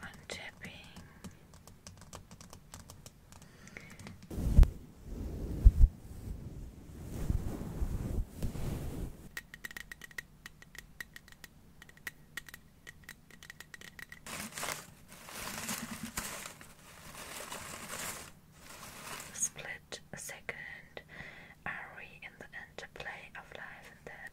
untapping Split a second are we in the interplay of life and death?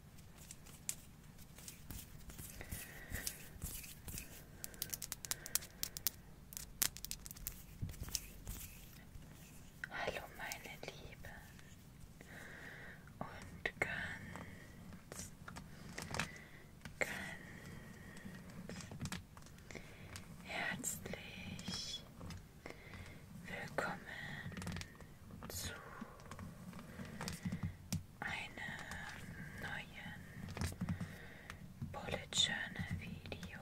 Hallo meine Liebe und ganz, ganz herzlich Willkommen zu einem neuen Bullet Journal Video.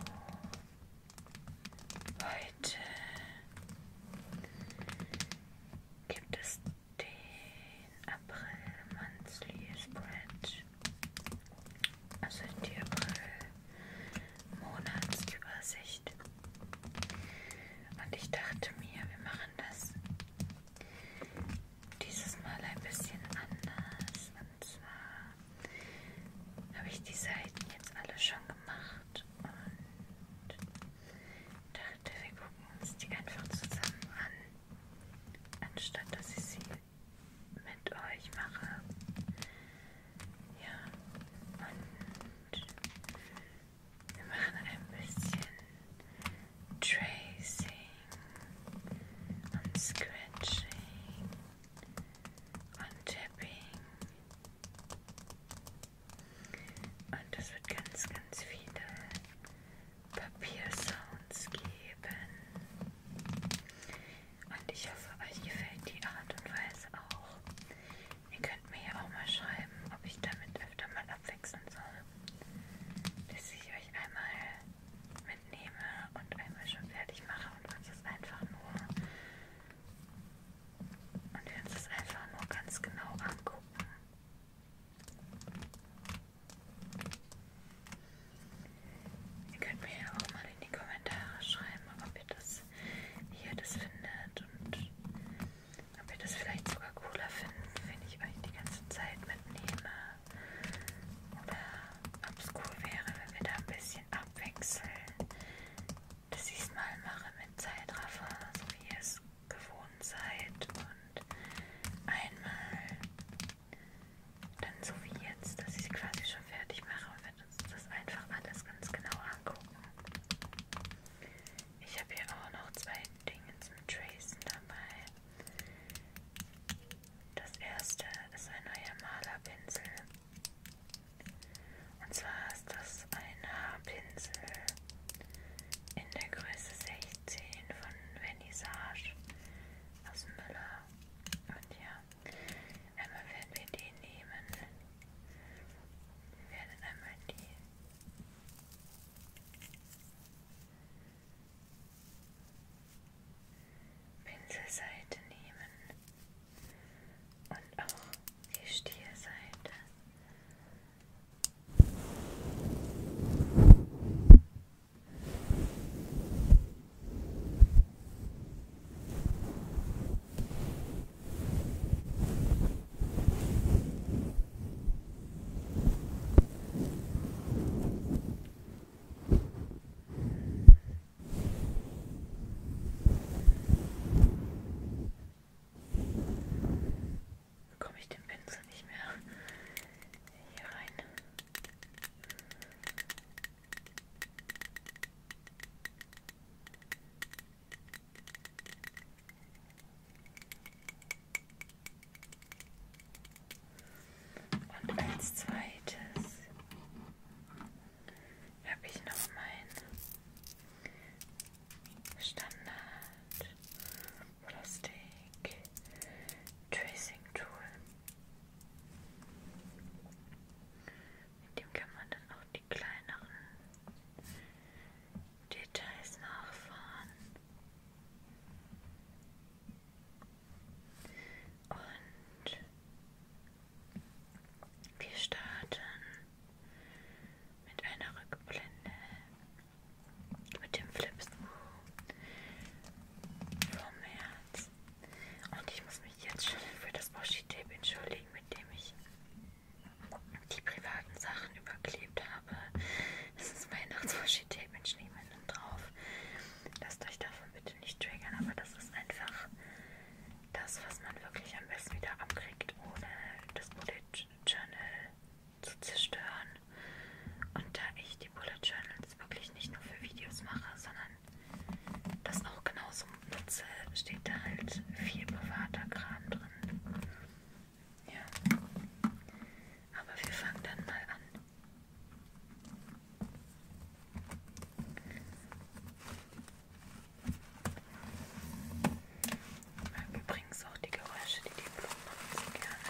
Heute gibt es den April Monthly Spread, also die April Monatsübersicht. Und ich dachte mir, wir machen das dieses Mal ein bisschen anders. Und zwar habe ich die Seiten jetzt alle schon gemacht und dachte, wir gucken uns die einfach zusammen an, anstatt dass ich sie mit euch mache. Ja, und wir machen ein bisschen Tracing und Scratching und Tapping. Und das wird ganz, ganz viele Papiersounds geben. Und ich hoffe, euch gefällt die Art und Weise auch, Ihr könnt mir ja auch mal schreiben, ob ich damit öfter mal abwechseln soll. Dass ich euch einmal mitnehme und einmal schon fertig mache und uns das einfach nur und wir uns das einfach nur ganz genau angucken. Ihr könnt mir ja auch mal in die Kommentare schreiben, ob ihr das jetzt hier das findet und ob ihr das vielleicht sogar cooler findet, wenn ich euch die ganze Zeit mitnehme. Oder ob es cool wäre, wenn wir da ein bisschen abwechseln, dass ich es mal mache mit Zeitraffer, so wie ihr es gewohnt seid. Und einmal dann so wie jetzt, dass ich es quasi schon fertig mache und wir uns das einfach alles ganz genau angucken. Ich habe hier auch noch zwei Dinge zum Tracen dabei. Das erste ist ein neuer Malerpinsel. Und zwar ist das ein Haarpinsel in der Größe 16 von Vernissage aus Müller. Und ja, einmal werden wir den nehmen. Wir werden einmal die Pinselseite nehmen und auch die Stierseite. Und Bekomme ich den Pinsel nicht mehr hier rein? Und als zweites habe ich noch mein Standard Plastik Tracing Tool. Mit dem kann man dann auch die kleineren Details nachfahren. Und wir starten mit einer Rückblende mit dem Flipscrew vom März. Und ich muss mich jetzt schon für das Washi-Tape entschuldigen, mit dem ich die privaten Sachen überklebt habe. Das ist Weihnachtsvorschete, mit Schneemännern drauf. Lasst euch davon bitte nicht triggern, aber das ist einfach das, was man wirklich am besten wieder abkriegt, ohne das Bullet Journal zu zerstören. Und da ich die Bullet Journals wirklich nicht nur für Videos mache, sondern das auch genauso Jetzt äh, steht da halt viel privater Kram drin. Ja. Aber wir fangen dann mal an. Ich mag übrigens auch die Geräusche, die die Blumen machen, so gerne.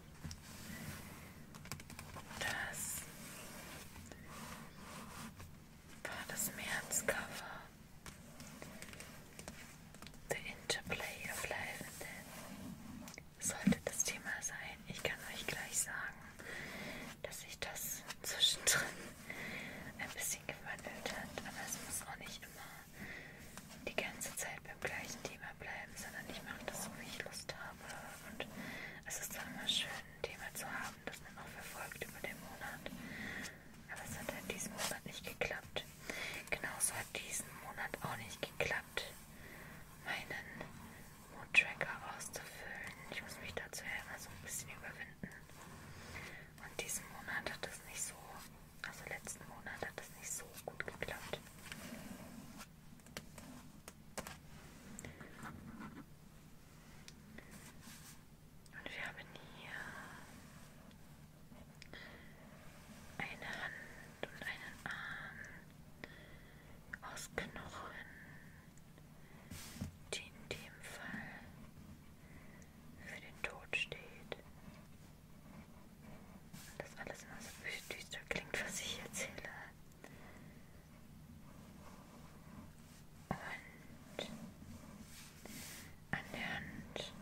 Das war das Märzcover. The Interplay of Life and Death sollte das Thema sein. Ich kann euch gleich sagen, dass sich das zwischendrin ein bisschen gewandelt hat, aber es muss auch nicht immer die ganze Zeit beim gleichen Thema bleiben, sondern ich mache das so, wie ich Lust habe und es ist zwar immer schön, ein Thema zu haben, das man auch verfolgt über den Monat, aber es hat in halt diesem Monat nicht geklappt. Genauso hat diesen Monat auch nicht geklappt, meinen Mood-Tracker auszufüllen. Ich muss mich dazu ja immer so ein bisschen überwinden. Und diesen Monat hat das nicht so, also letzten Monat hat das nicht so gut geklappt. Und wir haben hier eine Hand und einen Arm aus Knochen, die in dem Fall für den Tod steht. Und das alles immer so düster klingt, was ich erzähle. Und an der Hand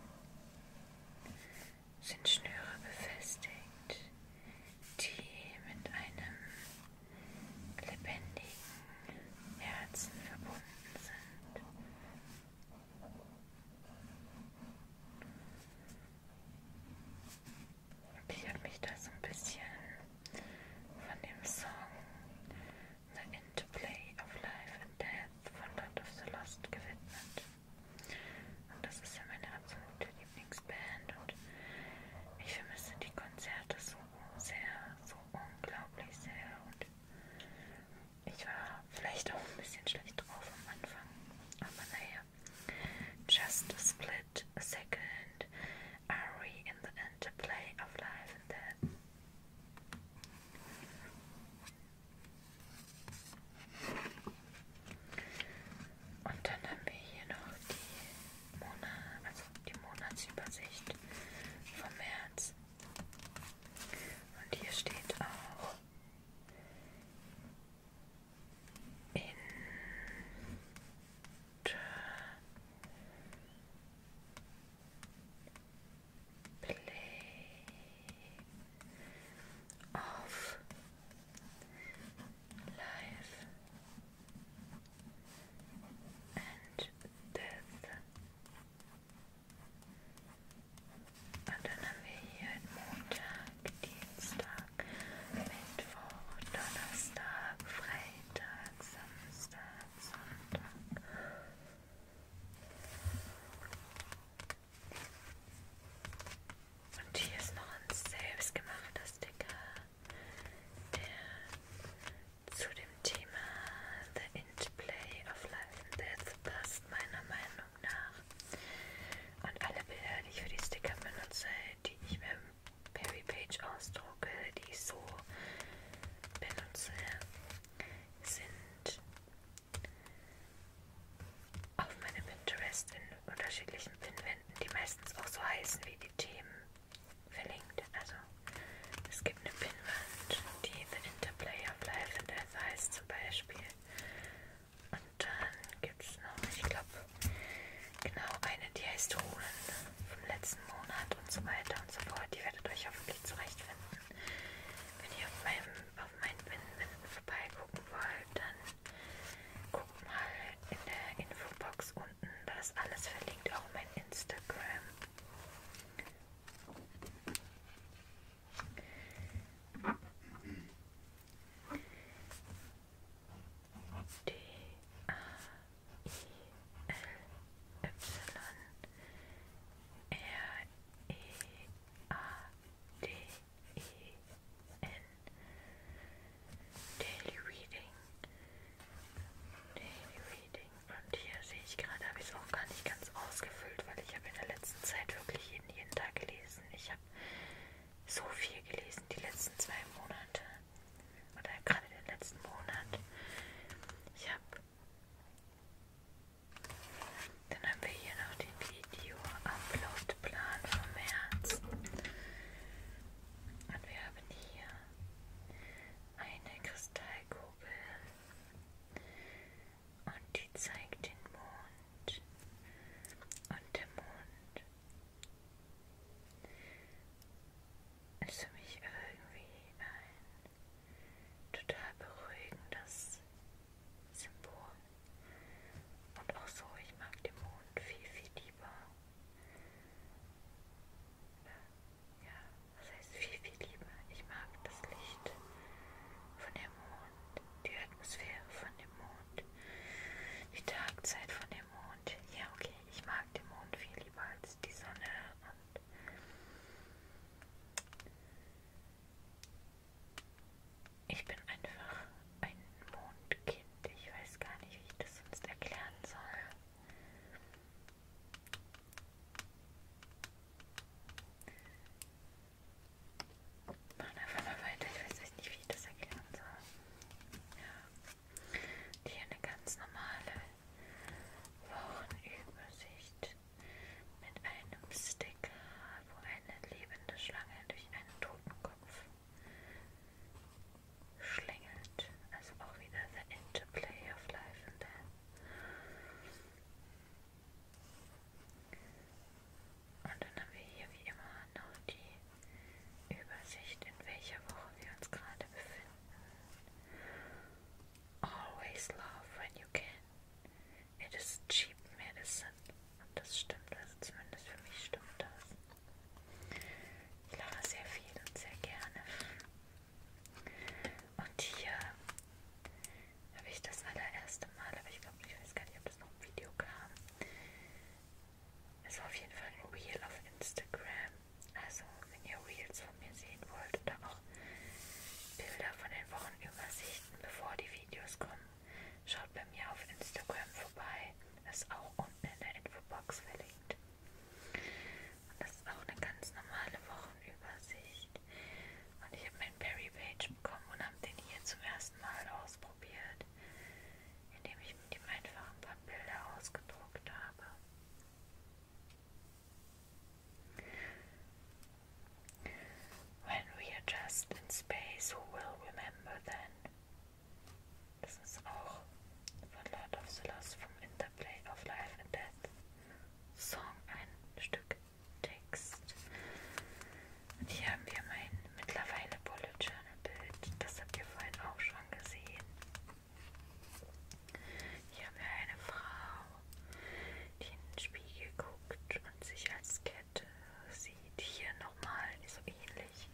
sind Schnüre befestigt, die mit einem lebendigen Herzen verbunden sind blockiert mich das ein bisschen von dem Song The Interplay of Life and Death von Lord of the Lost gewidmet. Und das ist ja meine absolute Lieblingsband und ich vermisse die Konzerte so sehr, so unglaublich sehr. Und ich war vielleicht auch ein bisschen schlecht drauf am Anfang, aber naja, Just split a second are we in the interplay of life and death? Und dann haben wir hier noch die, Monat, also die Monatsübersicht vom März. Und hier steht auch interplay of life and death. I don't you more Dienstag, Mittwoch, Donnerstag, Freitag, Samstag, Sonntag. Und hier ist noch ein selbstgemachtes Sticker, der zu dem Thema The Interplay of Life and Death passt, meiner Meinung Meinung nach. Und alle Bilder, die ich für die Sticker benutze, die ich mit dem Perry Page ausdrucke, die ich so benutze, sind auf meinem Pinterest in unterschiedlichen Pinwänden, die meistens auch so heißen wie die Themen, verlinkt. Also es gibt eine Pinwand, die The Interplay of Life and Death heißt zum Beispiel. Und dann äh, gibt es noch, ich glaube, genau eine, die heißt Runen vom letzten Monat und so weiter und so fort. Die werdet euch hoffentlich zurechtfinden. Wenn ihr auf, meinem, auf meinen Binnenwinden vorbeigucken wollt, dann guckt mal in der Infobox unten. Da ist alles verlinkt, auch mein Instagram. D A I L Y R E A D E N Daily Reading Daily Reading und hier sehe ich gerade, habe ich es auch gar nicht ganz ausgefüllt, weil ich habe in der letzten Zeit wirklich jeden, jeden Tag gelesen. Ich habe so viel gelesen die letzten zwei Monate oder gerade den letzten Monat. Ich habe dann haben wir hier noch den Video-Upload-Plan vom März. Und wir haben hier eine Kristallkugel. Und die zeigt den Mond. Mond und der Mond ist für mich irgendwie ein total beruhigendes Symbol. Und auch so, ich mag den Mond viel, viel lieber. Ja, was heißt viel, viel lieber? Ich mag das Licht von dem Mond die Atmosphäre von dem Mond, die Tagzeit von dem Mond. Ja, okay, ich mag den Mond viel lieber als die Sonne und ich bin einfach ein Mondkind. Ich weiß gar nicht, wie ich das sonst erklären soll. Machen einfach mal weiter. Ich weiß echt nicht, wie ich das erklären soll. Ja. Hier eine ganz normale Wochenübersicht mit einem Sticker, wo eine lebende Schlange durch einen Totenkopf schlängelt. Also auch wieder The Interplay of Life and Death. Und dann haben wir hier wie immer noch die Übersicht, in welcher Woche wir uns gerade befinden. Always love when you can. It is cheap medicine. Und das stimmt, also zumindest für mich stimmt das. Ich lache sehr viel und sehr gerne. Und hier habe ich das allererste Mal, aber ich glaube, ich weiß gar nicht, ob das noch im Video kam, ist also auf jeden Fall ein Reel auf Instagram. Also, wenn ihr Reels von mir sehen wollt oder auch Bilder von den Wochenübersichten, bevor die Videos kommen, schaut bei mir auf Instagram vorbei. Ist auch unten in der Infobox verlinkt. Und das ist auch eine ganz normale Wochenübersicht. Und ich habe meinen Perry Page bekommen und habe den hier zum ersten Mal ausprobiert indem ich mit ihm einfach ein paar Bilder ausgedruckt habe. When we are just in space, who will remember then? Das ist auch von Lord of the Lost vom Interplay of Life and Death Song ein Stück Text. Und hier haben wir mein mittlerweile Bullet Journal Bild. Das habt ihr vorhin auch schon gesehen. Hier haben wir eine Frau, die in den Spiegel guckt und sich als Kette sieht. Hier nochmal so ähnlich.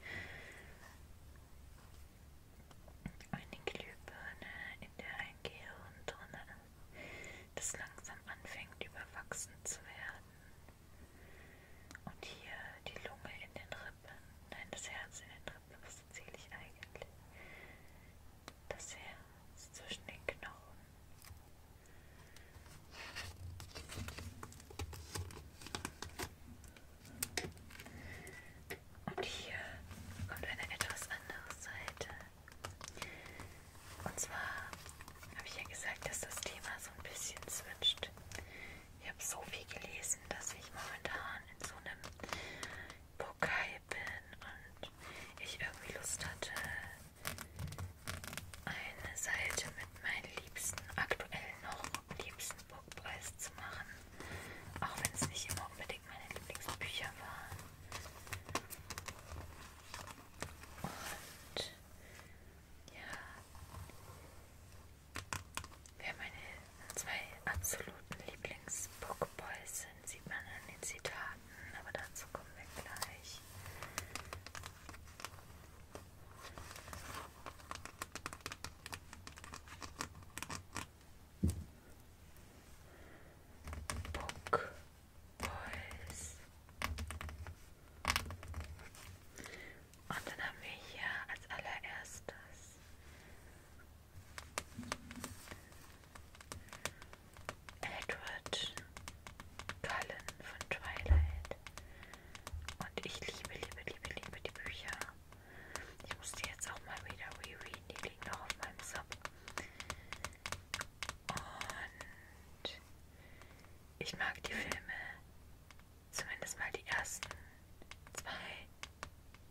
Eine Glühbirne, in der ein Gehirn drin ist, das langsam anfängt überwachsen zu werden. Und hier die Lunge in den Rippen, nein, das Herz in den Rippen, was erzähle ich eigentlich? Das Herz zwischen den Knochen. Und hier kommt eine etwas andere Seite. Und zwar habe ich ja gesagt, dass das Thema so ein bisschen switcht. Ich habe so viel gelesen, dass ich momentan in so einem Pokai bin und ich irgendwie Lust hatte, eine Seite mit meinen liebsten, aktuell noch liebsten Buchpreis zu machen. Auch wenn es nicht immer unbedingt meine Lieblingsbücher waren. Und ja. Wer meine zwei absoluten Lieblings-Pokeballs sind, sieht man an den Zitaten, aber dazu kommen wir gleich. Book Boys. Und dann haben wir hier als allererstes Edward Cullen von Twilight. Und ich liebe, liebe, liebe, liebe die Bücher. Ich muss die jetzt auch mal wieder rereaden. Die liegen noch auf meinem Sub. Und ich mag die Filme, zumindest mal die ersten zwei,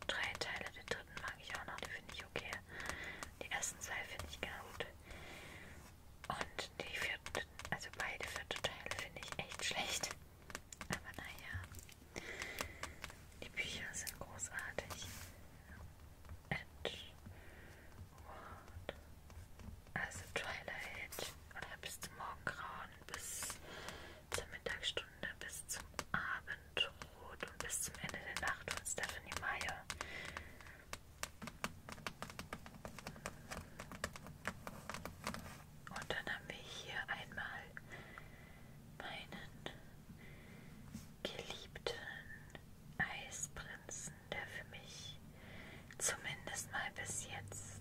drei Teile. Den dritten mag ich auch noch, die finde ich okay. Die ersten zwei finde ich ganz gut. Und die vierten, also beide vierten Teile finde ich echt schlecht. Aber naja, die Bücher sind großartig. Und also Twilight oder bis zum Morgengrauen, bis zur Mittagsstunde, bis zum Abendrot und bis zum Ende der Nacht von Stephanie Meyer. Und dann haben wir hier einmal meinen geliebten Eisprinz der für mich zumindest mal bis jetzt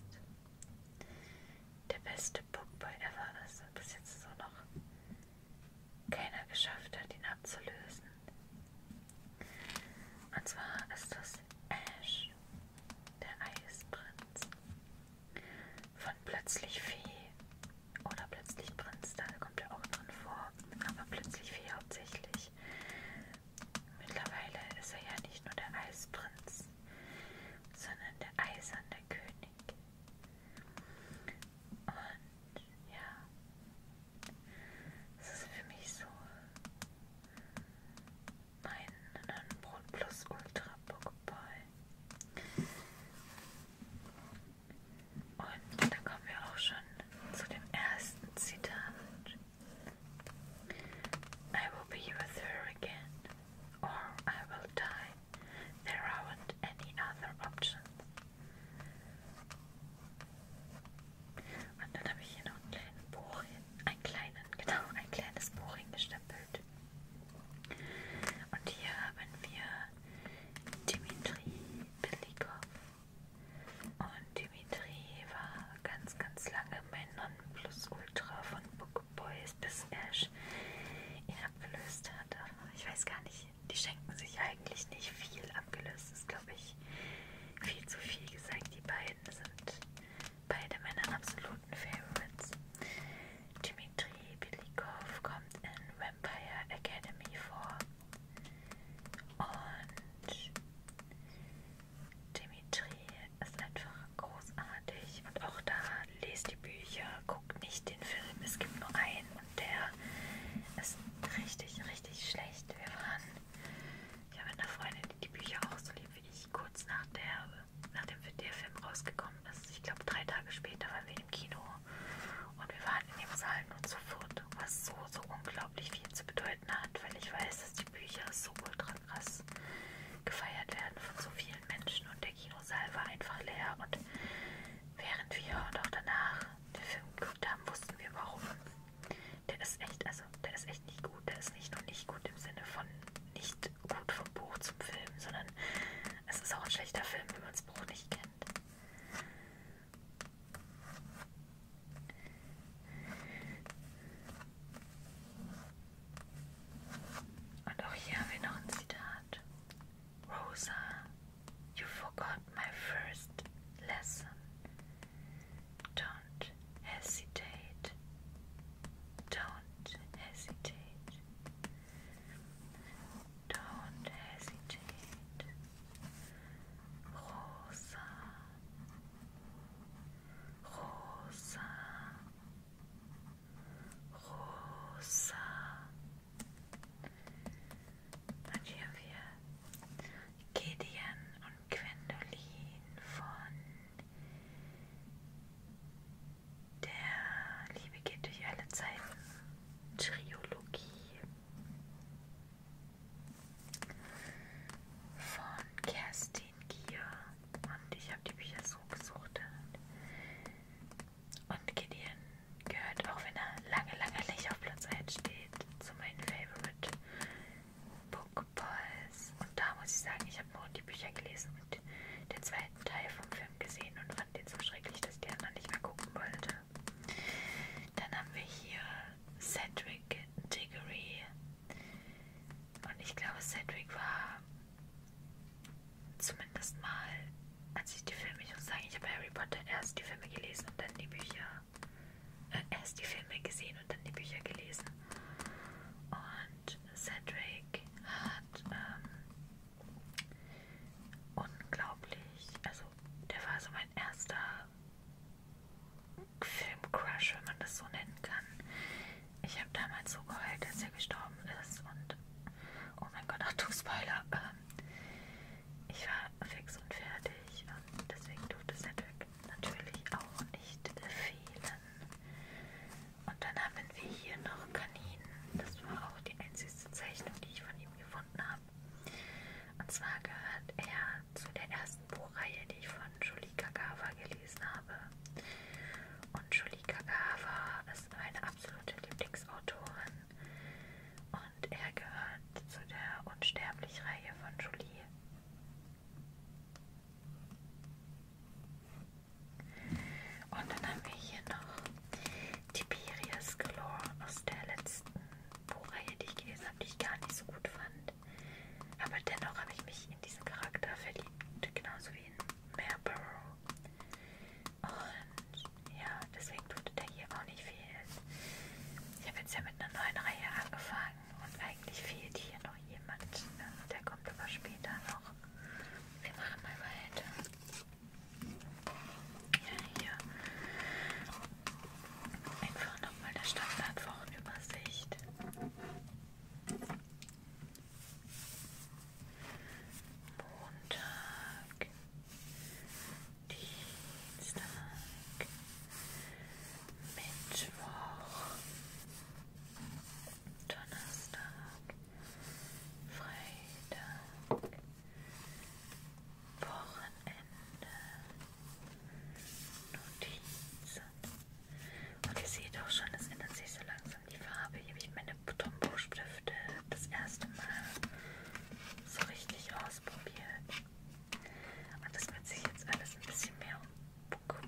der beste Bookboy ever ist und bis jetzt so noch keiner geschafft hat, ihn abzulösen. Und zwar ist das Ash, der Eisprinz von Plötzlich Fee oder Plötzlich Prinz, da kommt er auch drin vor, aber Plötzlich Fee hauptsächlich. Mittlerweile ist er ja nicht nur der Eisprinz, sondern der eiserne König. Und ja, es ist für mich so mein Nonnenbrot plus Ultra Pokéball. Und da kommen wir auch schon zu dem ersten Zitat. I will be with her again, or I will die. There aren't any other options. Und dann habe ich hier noch einen kleinen Buch, einen kleinen, genau, ein kleines Buch hingestempelt. Und hier haben wir Dimitri Belikov. Und Dimitri war ganz, ganz lange mein Nonplusultra von Book Boys, bis Ash ihn abgelöst hatte. Ich weiß gar nicht, die schenken sich eigentlich nicht viel. Abgelöst ist, glaube ich, viel zu viel gesagt. Die beiden sind beide meine absoluten Favorites. Dimitri Belikov kommt in Vampire Academy vor. Und Dimitri ist einfach großartig und auch da lest die Bücher, guckt nicht den Film. Es gibt nur einen und der ist richtig, richtig schlecht. Wir waren, ich habe eine Freundin, die die Bücher auch so liebt wie ich, kurz nach der, nachdem der Film rausgekommen ist. Ich glaube, drei Tage später waren wir im Kino und wir waren in dem Saal nur zu viert, was so, so unglaublich viel zu bedeuten bedeuten hat, weil ich weiß, dass die Bücher so ultra krass gefeiert werden von so vielen Menschen und der Kinosaal war einfach leer und während wir und auch danach den Film geguckt haben, wussten wir warum. Der ist echt, also der ist echt nicht gut, der ist nicht nur nicht gut im Sinne von nicht gut vom Buch zum Film, sondern es ist auch ein schlechter Film, wenn man das Buch nicht kennt. Und auch oh, hier haben wir noch ein Zitat. Rosa, you forgot my first lesson. Don't hesitate. Don't hesitate. Don't hesitate. rosa, rosa, rosa. Und hier haben wir Gideon und Gwendolin von der Liebe geht durch alle Zeiten Triologie von Kerstin Gier und ich habe die Bücher so gesucht und Gideon gehört, auch wenn er lange, lange nicht auf Platz 1 steht, zu meinen Favorite Book Boys und da muss ich sagen, ich habe nur die Bücher gelesen und den zweiten Teil vom Film gesehen und fand den so schrecklich, dass ich die anderen nicht mehr gucken wollte. Dann haben wir hier Cedric Diggory. Und ich glaube, Cedric war zumindest mal, als ich die Filme, ich muss sagen, ich habe Harry Potter erst die Filme gelesen und dann die Bücher. Äh, erst die Filme gesehen und dann die Bücher gelesen. Und Cedric hat ähm, unglaublich, also der war so mein erster Filmcrush, wenn man das so nennen kann. Ich habe damals so geheult, dass er gestorben ist und oh mein Gott, ach du Spoiler. Ähm, ich war fix und fertig und deswegen durfte Cedric natürlich auch nicht fehlen. Und dann haben wir hier noch Kaninen. Das war auch die einzigste Zeichnung, die ich von ihm gefunden habe. Und zwar gehört er zu der ersten Buchreihe, die ich von Julie Kagawa gelesen habe. Und Julie Kagawa ist meine absolute Lieblingsautorin. Und er gehört zu der Unsterblich-Reihe von Julie. Und dann haben wir hier noch Tiberius Galore aus der letzten Buchreihe, die ich gelesen habe, die ich gar nicht so gut fand. Aber dennoch habe ich mich in diesen Charakter verliebt, genauso wie in Marlborough. Und ja, deswegen tut der hier auch nicht viel. Ich habe jetzt ja mit einer neuen Reihe angefangen und eigentlich fehlt hier noch jemand. Ne? Der kommt aber später noch. Wir machen mal weiter. Ja, hier. Einfach nochmal der Standardwochenübersicht. Montag, Dienstag, Mittwoch, Donnerstag, Freitag, Wochenende, Notizen. Und ihr seht auch schon, es ändert sich so langsam die Farbe. Hier habe ich meine Tombow-Stifte das erste Mal so richtig ausprobiert. Und das wird sich jetzt alles ein bisschen mehr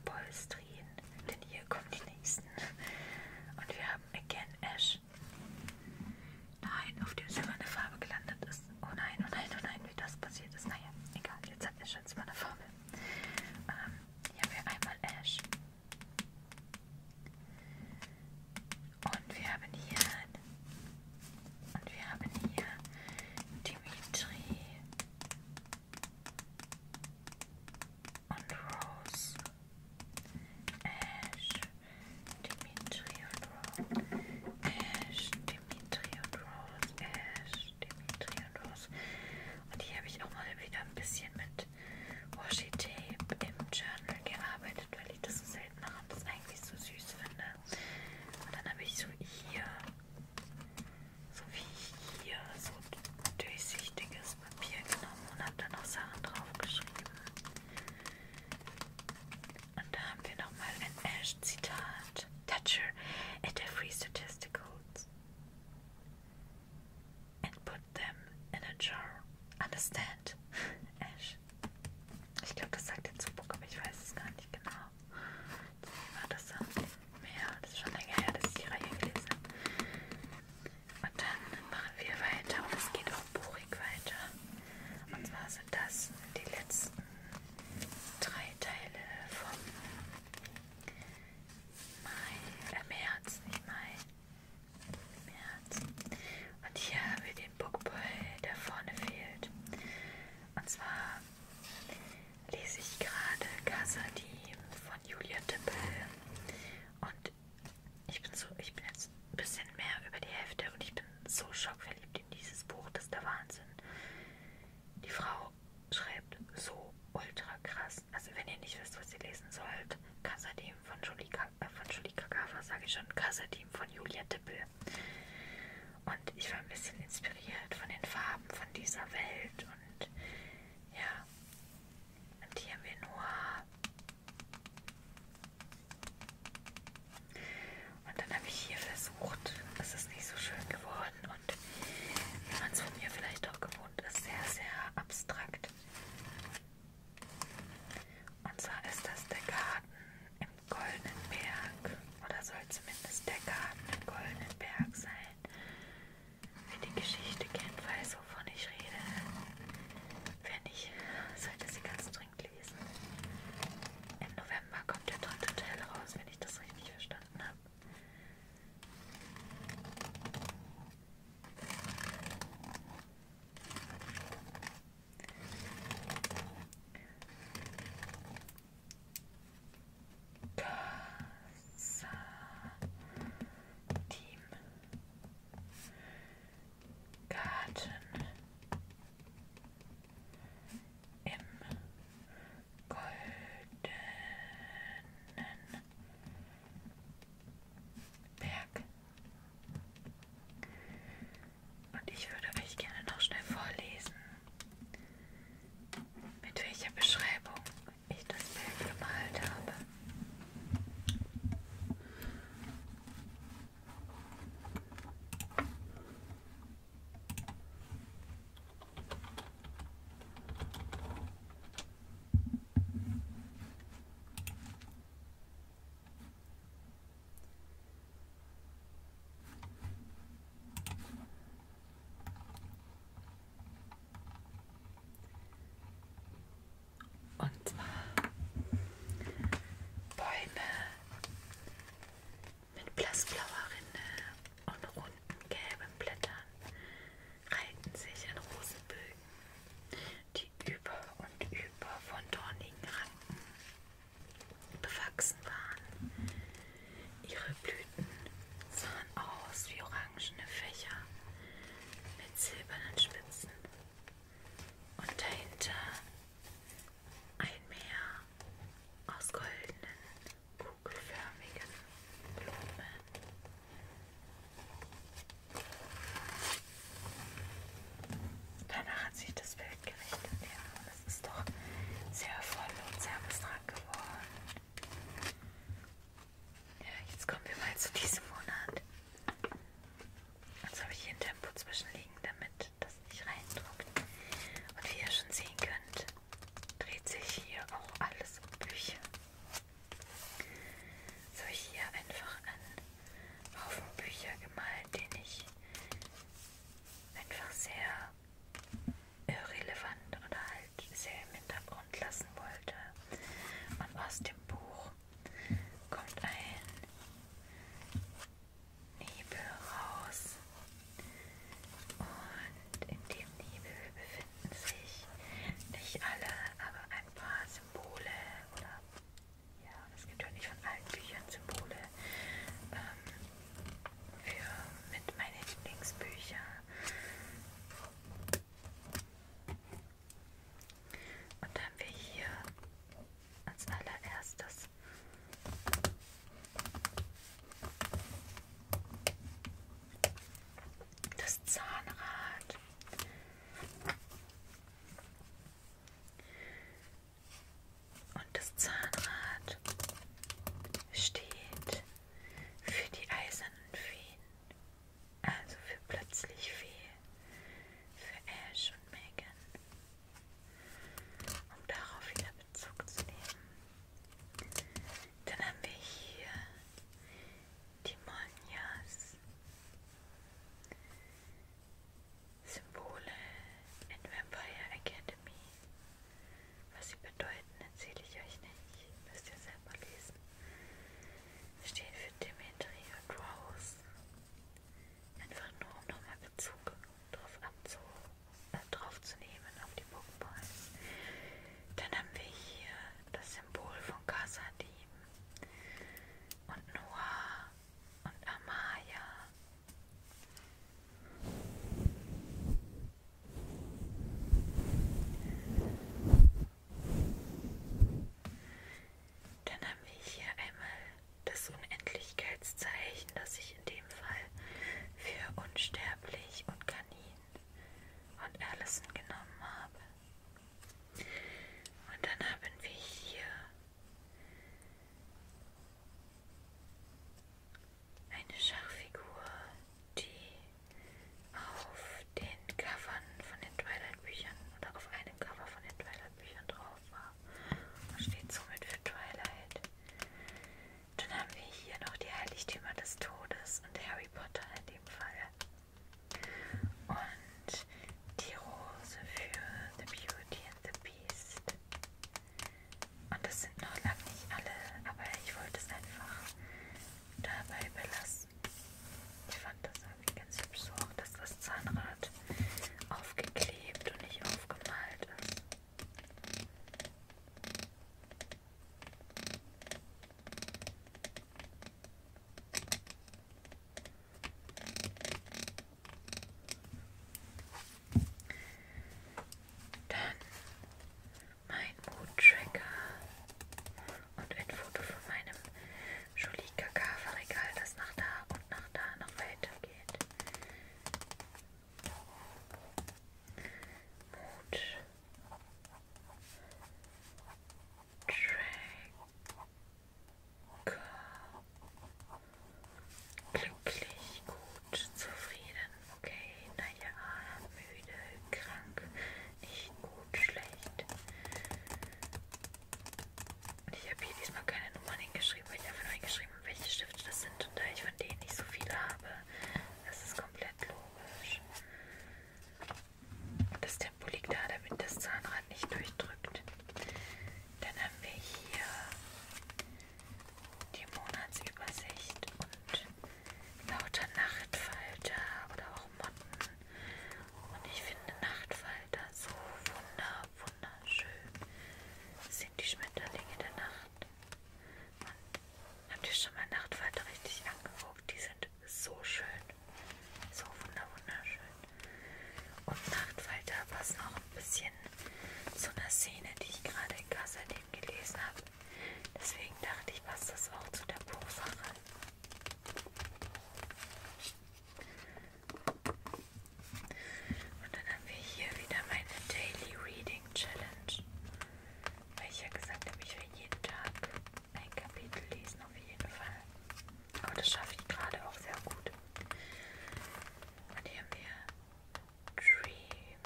polstrieren, denn hier kommen die nächsten. Und wir haben Again Ash. Nein, auf dem silberne Farbe gelandet ist das. Oh nein, oh nein, oh nein, wie das passiert ist. Naja, egal, jetzt hat Ash jetzt mal eine Formel. Ähm, hier haben wir einmal Ash. Und wir haben hier. Und wir haben hier Dimitri und Rose. Ash, Dimitri und Rose. Ash, Dimitri und Rose, Ash, Dimitri und Rose. Und hier habe ich auch mal wieder ein bisschen mit Washi Tape im Journal gearbeitet, weil ich das so selten mache und das eigentlich so süß finde. Und dann habe ich so hier, so wie hier, so durchsichtiges Papier genommen und habe dann auch Sachen draufgeschrieben. Und da haben wir nochmal ein Ash-Zitat. Toucher at every statisticals and put them in a jar. Understand? Ash. Ich glaube, das sagt jetzt Zubuk, aber ich weiß es gar nicht genau. Wie war das dann? Ja, das ist schon länger her, dass ich die Reihe gelesen habe. Und dann machen wir weiter und es geht auch buchig weiter. Und zwar so dass die letzten drei Teile vom Mai, äh März, nicht Mai, März. Und hier haben wir den Bookboy, der vorne fehlt. Und zwar lese ich gerade Casadim von Julia Tippel. Und ich bin so, ich bin jetzt ein bisschen mehr über die Hälfte und ich bin so schockverliebt in dieses Buch, das ist der Wahnsinn. Die Frau schreibt so ultra krass. Also wenn ihr nicht wisst, was ihr lesen sollt, Kassadim von Julie, äh, von Julie Kagawa, sage ich schon, Kassadim von Julia Dippel. Und ich war ein bisschen inspiriert von den Farben von dieser Welt und ja. Und hier haben wir Noir. Und dann habe ich hier versucht, es ist nicht so schön geworden und wie man es von mir vielleicht auch gewohnt ist, sehr, sehr abstrakt. Und zwar ist das der Garten im Goldenen Berg oder soll zumindest der Garten im Goldenen Berg sein. Wer die Geschichte kennt, weiß, wovon ich rede. Wer nicht, sollte sie ganz dringend lesen gewesen. Im November kommt der dritte Teil raus, wenn ich das richtig verstanden habe. Casa Team Garten im goldenen Berg. Und ich würde euch gerne noch schnell vorlesen, mit welcher Beschreibung ich das Bild gemalt habe. Und zwar Bäume mit blassblauer Rinde und runden gelben Blättern reihten sich an Rosenbögen, die über und über von dornigen Ranken bewachsen waren. Ihre Blüten sahen aus wie orangene Fächer mit silbernen Spitzen und dahinter ein Meer aus goldenen, kugelförmigen Blumen. Danach hat sich das Bild gerichtet. Ja, und es ist doch sehr voll und sehr abstrakt geworden. Ja, jetzt kommen wir mal zu diesem Monat. Jetzt habe ich hier ein Tempo zwischenliegen, damit das nicht reindruckt. Und wie ihr schon sehen könnt, dreht sich hier auch alles um Bücher. Jetzt habe ich hier einfach einen Haufen Bücher gemalt, den ich einfach sehr irrelevant oder halt sehr im Hintergrund lassen wollte. Und aus dem Buch kommt ein Nebel raus. Und in dem Nebel befinden sich nicht alle, aber ein paar Symbole oder ja, es gibt ja nicht von allen Büchern Symbole ähm, für mit meinen Lieblingsbücher. Und dann haben wir hier als allererstes. Das Zahnrad. Und das Zahnrad steht für die eisernen Feen, also für plötzlich Fee, für Ash und Megan um darauf wieder Bezug zu nehmen. Dann haben wir hier die Monjas. Symbole in Vampire Academy. Was sie bedeuten, erzähle ich euch nicht. Müsst ihr selber lesen. Stehen für Dimitri und Rose. Einfach nur, um nochmal Bezug drauf, abzu äh, drauf zu nehmen auf die Pokéballs. Dann haben wir hier das Symbol von Kasadim und Noah und Amaya. Dann haben wir hier einmal das Unendlichkeitszeichen, das ich in dem Fall für unsterblich und Kanin und Allison genommen habe. Und dann haben wir hier eine Schachfigur, die auf den Covern von den Twilight-Büchern oder auf einem Cover von den Twilight-Büchern drauf war und steht somit für Twilight. Dann haben wir hier noch die Heiligtümer des Todes und Harry Potter in dem Fall. Und die Rose für The Beauty and the Beast. Und das sind noch lange nicht alle, aber ich wollte es einfach dabei belassen. Ich fand das irgendwie ganz hübsch so, dass das Zahnrad aufgeklebt und nicht aufgemalt ist. Dann mein Mood-Tracker und ein Foto von meinem Jolie Kaka Regal, das nach da und nach da noch weitergeht. Mut. Tracker. Glücklich, gut, zufrieden, okay, naja, müde, krank, nicht gut, schlecht. Ich habe hier diesmal keine Nummern hingeschrieben, weil ich einfach nur hingeschrieben habe, welche Stifte das sind. Und da ich von denen nicht so viele habe, das ist komplett logisch. Das Tempo liegt da, damit das Zahnrad nicht durchdrückt. Dann haben wir hier die Monatsübersicht und lauter Nachtfalter oder auch Motten. Und ich finde Nachtfalter so wunderbar wunderschön sind die Schmetterlinge der Nacht. Man, habt ihr schon mal Nachtfalter richtig angeguckt? Die sind so schön. So wunderschön. Und Nachtfalter passen auch ein bisschen zu einer Szene, die ich gerade in Kassadin gelesen habe. Deswegen dachte ich, passt das auch zu der Buchsache. Und dann haben wir hier wieder meine Daily Reading Challenge, weil ich ja gesagt habe, ich will jeden Tag ein Kapitel lesen, auf jeden Fall. Aber das schaffe ich gerade auch sehr gut. Und hier haben wir Dream.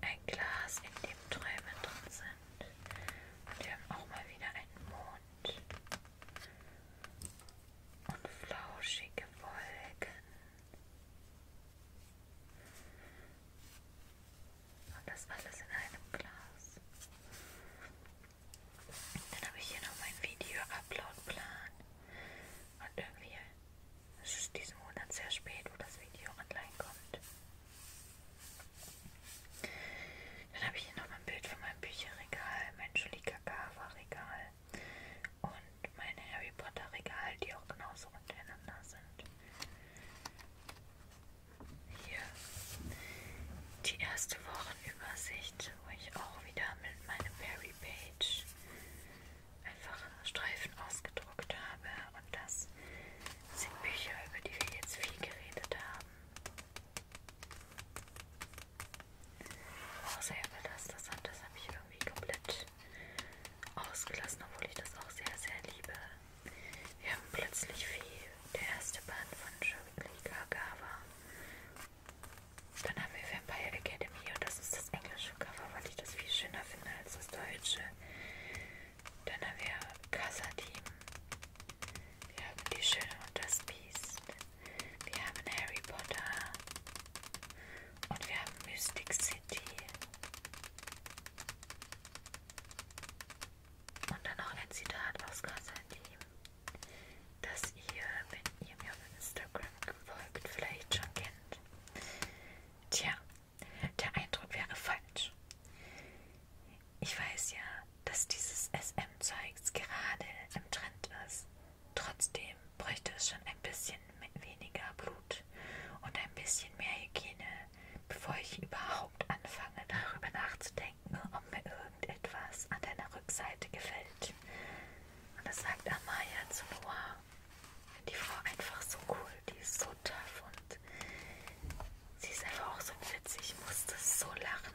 Ein Glas, in dem Träume drin sind. Und wir haben auch mal wieder einen Mond und flauschige Wolken. Und das alles in einem Glas. Dann habe ich hier noch meinen Video-Upload-Plan. Und irgendwie ist es diesen Monat sehr spät, wo das Video online kommt. Dann habe ich hier noch ein Bild von meinem Bücherregal, mein Schulika Kava Regal und meine Harry Potter Regal, die auch genauso untereinander sind. Hier die erste Wochenübersicht, wo ich auch wieder mit meinem Perry Page einfach Streifen ausgedruckt habe und das sind Bücher, über die wir jetzt viel geredet haben auch oh, sehr belastet hat. Das habe ich irgendwie komplett ausgelassen, obwohl ich das auch sehr, sehr liebe. Wir haben plötzlich viel. Der erste Band von Shirley Kagawa. Dann haben wir Vampire Academy und das ist das englische Cover, weil ich das viel schöner finde als das deutsche. Dann haben wir Casa Team. Wir haben die Schöne und das Biest. Wir haben Harry Potter. Und wir haben Mystic City. Und dann noch ein Zitat aus Konstantin, das ihr, wenn ihr mir auf Instagram folgt, vielleicht schon kennt. Tja, der Eindruck wäre falsch. Ich weiß ja, dass dieses SM-Zeugs gerade im Trend ist. Trotzdem bräuchte es schon ein bisschen weniger Blut und ein bisschen mehr Hygiene, bevor ich überhaupt anfange, darüber nachzudenken, ob mir irgendetwas an deiner Rückseite gefällt. Und das sagt Amaya zu Noah. Die Frau einfach so cool, die ist so tough und sie ist einfach auch so witzig. Ich musste so lachen.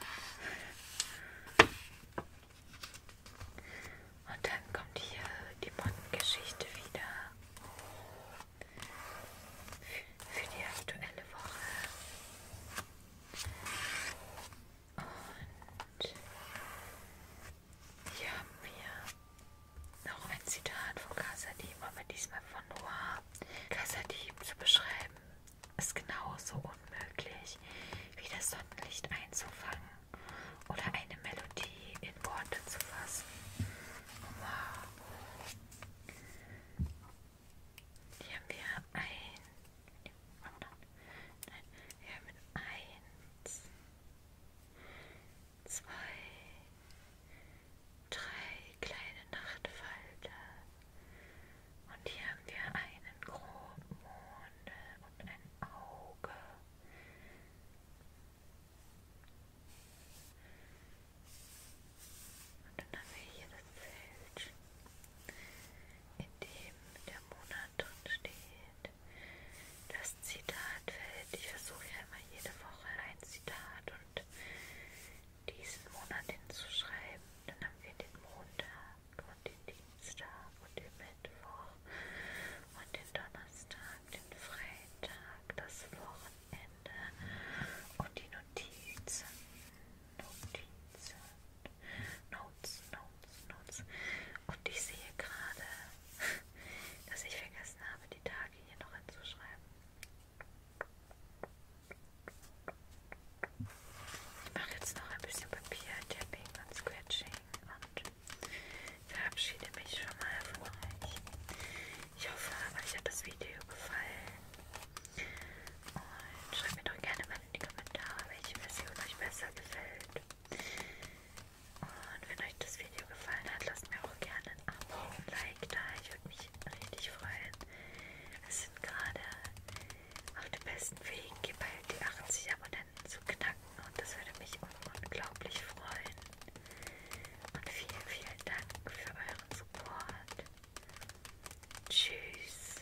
Und dann kommt hier die Mottengeschichte wieder für die aktuelle Woche. Und hier haben wir noch ein Zitat von Casadim, aber diesmal von Noir. Casadim zu beschreiben ist genauso unmöglich, wie das Sonnenlicht einzufangen oder eine Melodie in Worte zu fassen. Wow. Hier haben wir ein. Nein, wir haben eins, zwei, drei kleine Nachtfalter. Und hier haben wir einen groben Mond und ein Auge. Und dann haben wir hier das Feld, in dem der Monat drin steht. Das Zitatfeld. Ich versuche ja immer jede Woche ein Zitat und diesen Monat hinzuschreiben. Dann haben wir den Montag und den Dienstag und den Mittwoch und den Donnerstag, den Freitag, das Wochenende und die Notizen. Notizen. Notes, Notes, Notes. Und ich sehe gerade, dass ich vergessen habe, die Tage hier noch hinzuschreiben. Ich mache jetzt noch ein bisschen Papier-Tapping und Scratching und verabschiede mich schon mal von euch. Ich hoffe, euch hat das Video gefallen. Und schreibt mir doch gerne mal in die Kommentare, welche Version euch besser gefällt. Und wenn euch das Video gefallen hat, lasst mir auch gerne ein Abo und ein Like da. Ich würde mich richtig freuen. Es sind gerade auf den besten Wegen geballt die 80 Abonnenten zu knacken und das würde mich unglaublich freuen. Und vielen, vielen Dank für euren Support. Tschüss.